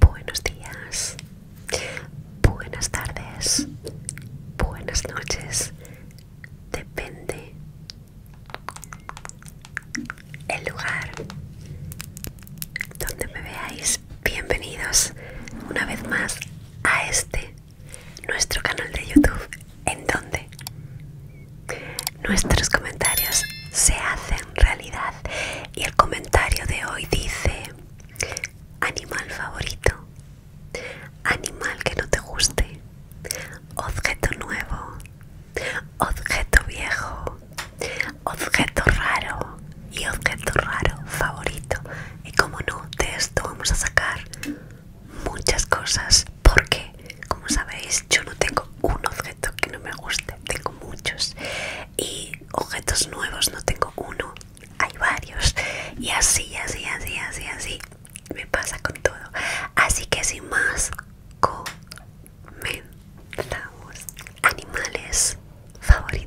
Buenos días, buenas tardes, buenas noches. Depende el lugar donde me veáis. Bienvenidos una vez más a este, nuestro canal de YouTube. ¿En donde? Nuestros comentarios se hacen realidad y el comentario de hoy dice, animal favorito, animal que no te guste, objeto nuevo, objeto viejo, objeto raro y objeto raro favorito. Y como no, de esto vamos a sacar muchas cosas porque, como sabéis, yo no tengo un objeto que no me guste, tengo muchos. Y objetos nuevos no tengo uno, hay varios. Y así, así, así, así, así me pasa con todo. Así que sin más, comenzamos. Animales favoritos.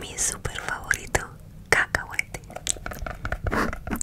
mi super favorito cacahuete cacahuete cacahuete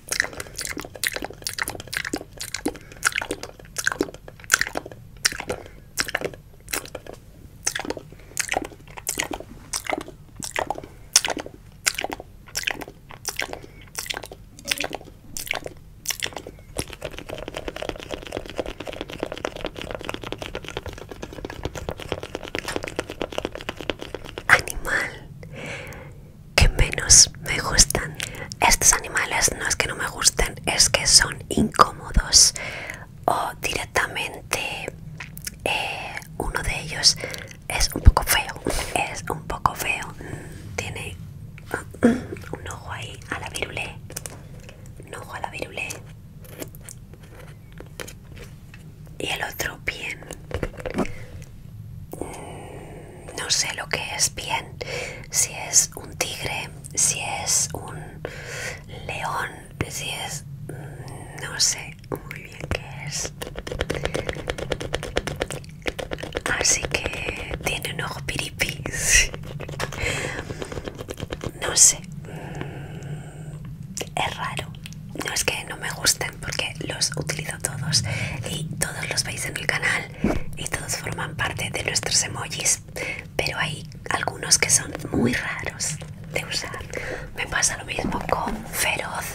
Animal, que menos me gustan. Estos animales no es que no me gusten, es que son incómodos o directamente eh, uno de ellos es un poco feo, es un poco feo, mm, tiene mm, un ojo ahí a la virule, un ojo a la virule y el otro bien. Mm, no sé lo que es bien, si es un tigre, si es un león, si es... Mm, no sé muy bien qué es. Así que tiene un ojo piripis. No sé. Mm, es raro no es que no me gusten porque los utilizo todos y todos los veis en el canal y todos forman parte de nuestros emojis pero hay algunos que son muy raros de usar me pasa lo mismo con feroz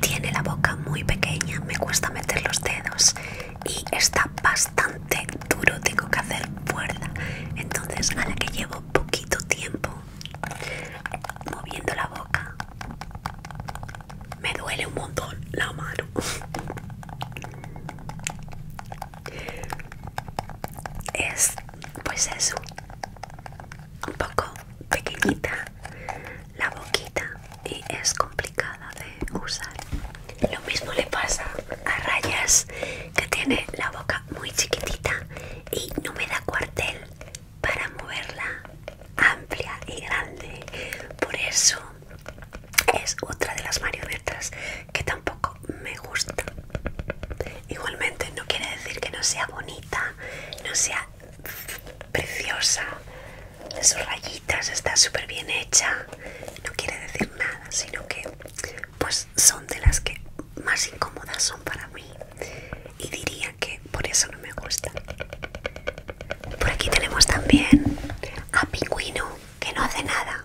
tiene la boca muy pequeña me cuesta meter los dedos y está bastante duro tengo que hacer fuerza entonces a la que llevo poquito tiempo moviendo la boca. Me duele un montón la mano. Es, pues eso, un poco pequeñita la boquita y es complicada de usar. Lo mismo le pasa a Rayas que tiene la boca muy chiquitita y no me da cuartel para moverla amplia y grande. Por eso es otra de las marionetas que tampoco me gusta. Igualmente no quiere decir que no sea bonita, no sea preciosa. Sus rayitas está súper bien hecha. No quiere decir nada, sino que pues son de las que más incómodas son para mí. Y diría que por eso no me gusta. Por aquí tenemos también a Pingüino, que no hace nada.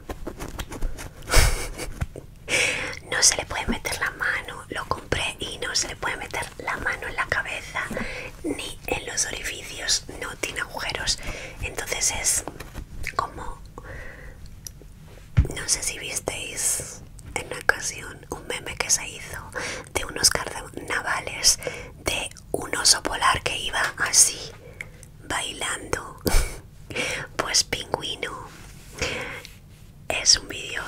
No se le puede meter la mano, lo compré y no se le puede meter la mano en la cabeza ni en los orificios, no tiene agujeros. Entonces es como, no sé si visteis en una ocasión un meme que se hizo de unos carnavales de un oso polar que iba así bailando pues pingüino es un vídeo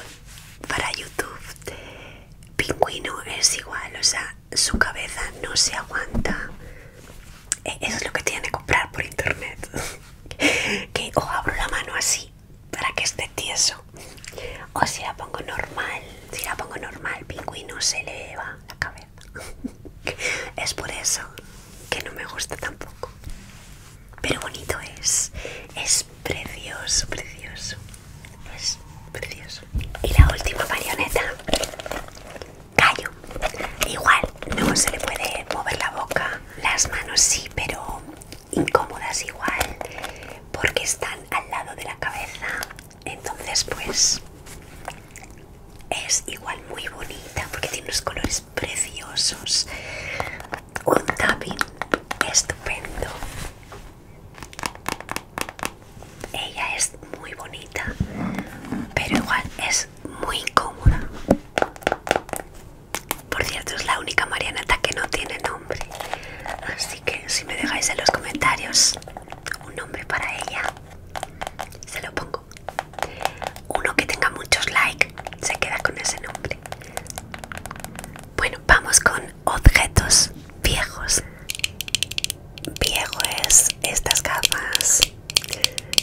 para youtube pingüino es igual o sea su cabeza no se aguanta e, eso es lo que tiene que comprar por internet que o abro la mano así para que esté tieso. O si la pongo normal, si la pongo normal, pingüino se le la cabeza. es por eso que no me gusta tampoco. Pero bonito es, es precioso, precioso, es precioso. Y la última marioneta, callo. Igual no se le puede mover la boca, las manos sí, pero incómodas igual porque están al lado de la cabeza entonces pues es igual muy bonita porque tiene unos colores preciosos un tapping estupendo ella es muy bonita pero igual es muy incómoda por cierto, es la única marioneta que no tiene nombre. Así que si me dejáis en los comentarios un nombre para ella, se lo pongo. Uno que tenga muchos likes se queda con ese nombre. Bueno, vamos con objetos viejos. Viejo es estas gafas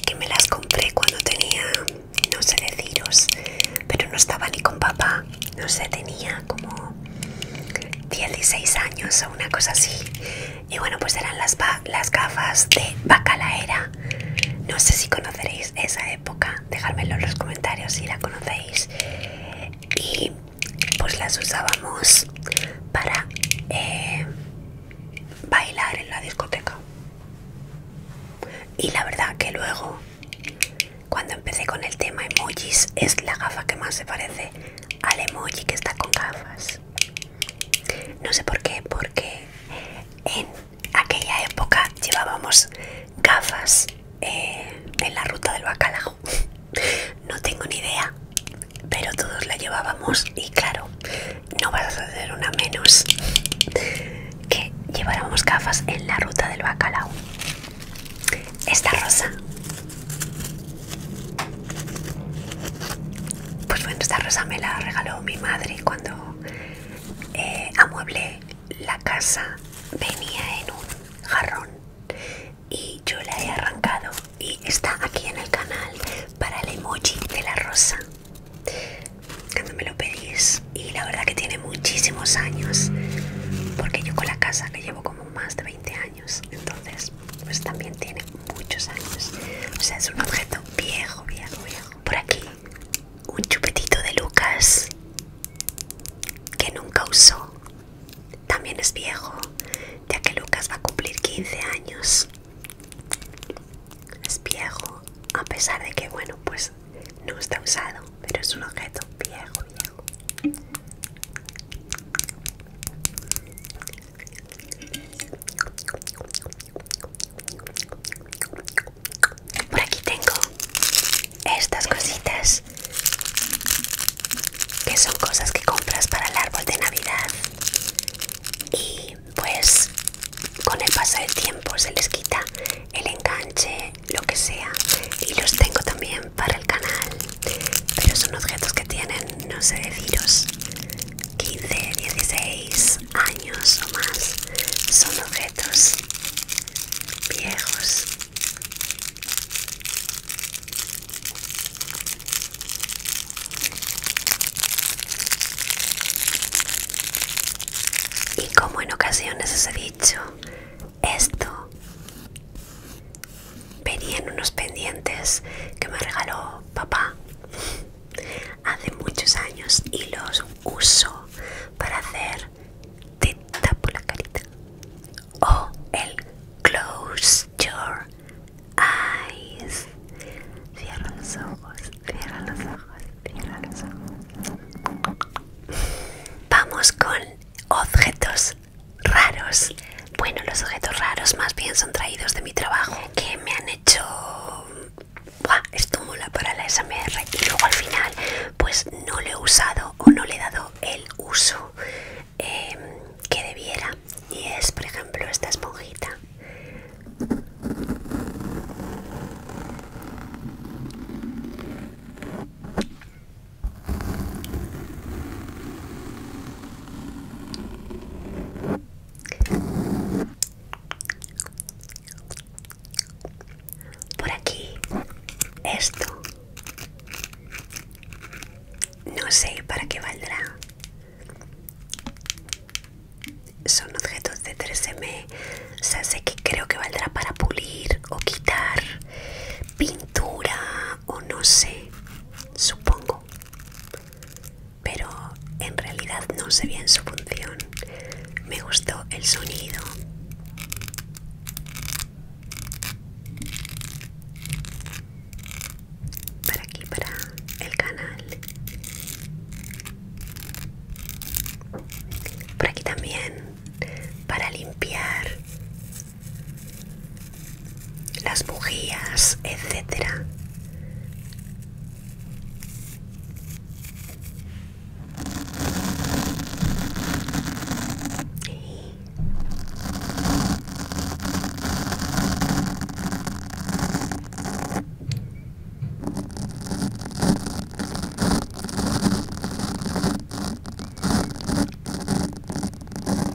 que me las compré cuando tenía no sé deciros, pero no estaba ni con papá, no sé, tenía como 16 años o una cosa así. Y bueno, pues eran las, gafas de bacalaera. No sé si conoceréis esa época, dejadmelo en los comentarios si la conocéis. Y pues las usábamos para eh, bailar en la discoteca. Y la verdad que luego cuando empecé con el tema emojis, es la gafa que más se parece al emoji que está con gafas. No sé por qué, porque en aquella época llevábamos gafas eh, en la ruta del bacalao. No tengo ni idea, pero todos la llevábamos y claro, no vas a hacer una menos que lleváramos gafas en la ruta del bacalao. Esta rosa. Pues bueno, esta rosa me la regaló mi madre cuando eh, amueble amueblé la casa. Venía en un jarrón y yo la he arrancado y está aquí en el canal para el emoji de la rosa cuando me lo pedís y la verdad que tiene muchísimos años porque yo con la casa que llevo como más de 20 años entonces pues también tiene muchos años o sea es un objeto viejo viejo viejo por aquí un chupetito de Lucas que nunca usó también es viejo ya que Lucas va a cumplir 15 años es viejo a pesar de que bueno pues no está usado, pero es un objeto viejo, viejo. Por aquí tengo estas cositas que son cosas que compras para el árbol de Navidad y pues con el paso del tiempo se les quita el enganche lo que sea y los tengo también para el canal pero son objetos que tienen no sé deciros 15 16 años o más son objetos viejos y como en ocasiones dicho hecho esto, en unos pendientes que me regaló papá hace muchos años y los uso para hacer te tapo la carita o el close your eyes cierra los ojos cierra los ojos cierra los ojos Vamos con objetos raros. Bueno, los objetos raros más bien son traídos de mi trabajo que me han hecho... Buah, esto para la SMR y luego al final pues no lo he usado o no le he dado el uso eh, que debiera. Y es por ejemplo esta esponjita. Por aquí, esto. No sé para qué valdrá son objetos de 3M o sea, sé que creo que valdrá para pulir o quitar pintura o no sé supongo pero en realidad no sé bien su función me gustó el sonido para aquí para el canal por aquí también, para limpiar las bujías, etcétera.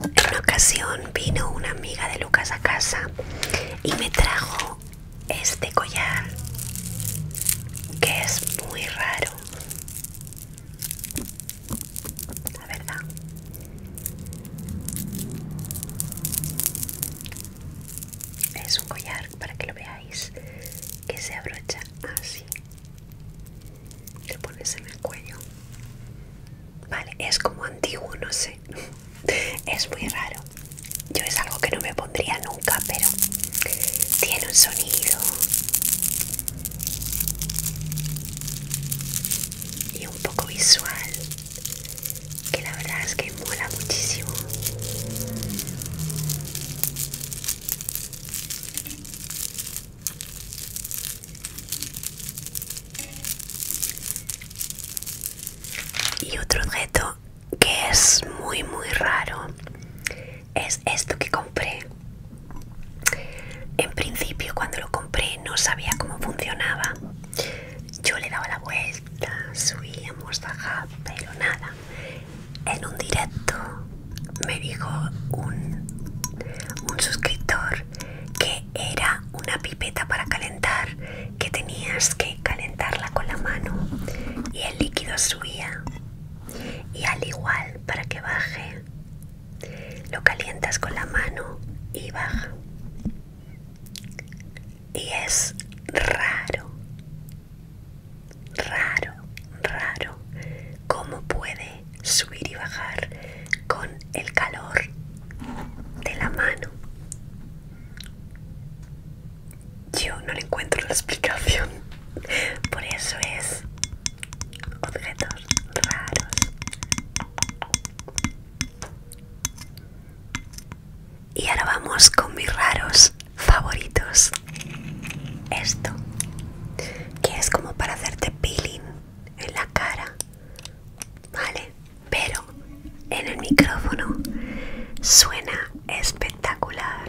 En una ocasión vino una amiga de Lucas a casa y me trajo este collar que es muy raro. La verdad. Es un collar para que lo veáis que se abrocha así te pones en el cuello vale es como antiguo no sé es muy raro yo es algo que no me pondría nunca pero tiene un sonido y un poco visual que la verdad es que mola muchísimo. Y otro objeto que es muy muy raro es esto que compré. En principio cuando lo compré no sabía cómo funcionaba. Yo le daba la vuelta, subíamos, bajaba, pero nada en un directo me dijo un, suscriptor que era una pipeta para calentar que tenías que calentarla con la mano y el líquido subía y al igual para que baje lo calientas con la mano y baja y es raro Raro, raro, cómo puede subir y bajar con el calor de la mano. Yo no le encuentro la explicación. Por eso es objetos raros. Y ahora vamos con mis raros favoritos. Esto, que es como para hacerte peeling en la cara, ¿vale? Pero en el micrófono suena espectacular.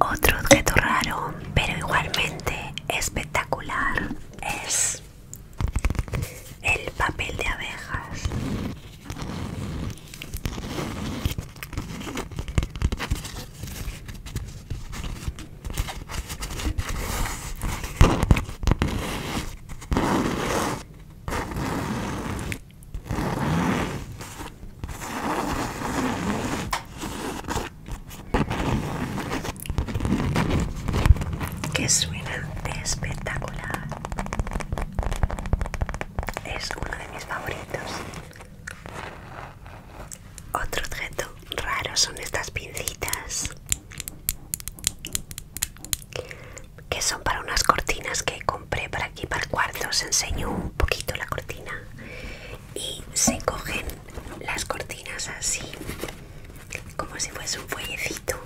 Otro objeto raro, pero igualmente espectacular, es el papel de abejas que suena espectacular es uno de mis favoritos otro objeto raro son estas pincitas que son para unas cortinas que compré para aquí para el cuarto. Os enseño un poquito la cortina y se cogen las cortinas así como si fuese un fuellecito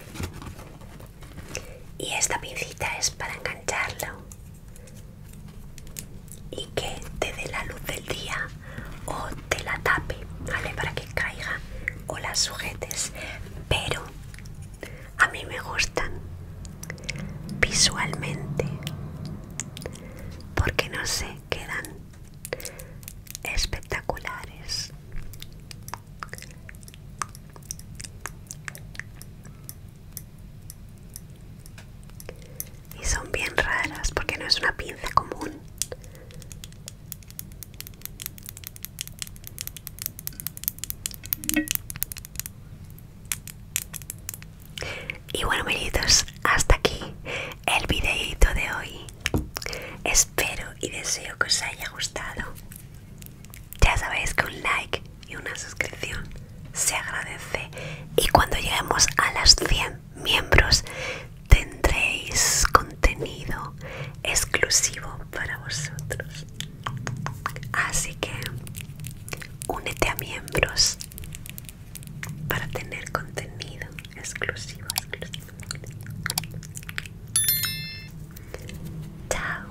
y esta pincita es para engancharlo y que te dé la luz del día o te la tape, ¿vale? Para que caiga o las sujetes. Pero a mí me gustan visualmente porque no sé, quedan espectaculares. Y son bien raras porque no es una pinza común. Y bueno, amiguitos, hasta aquí el videito de hoy. Espero y deseo que os haya gustado. Ya sabéis que un like y una suscripción se agradece. Y cuando lleguemos a las 100 miembros tendréis contenido exclusivo para vosotros. Así que únete a miembros para tener contenido exclusivo. Chao.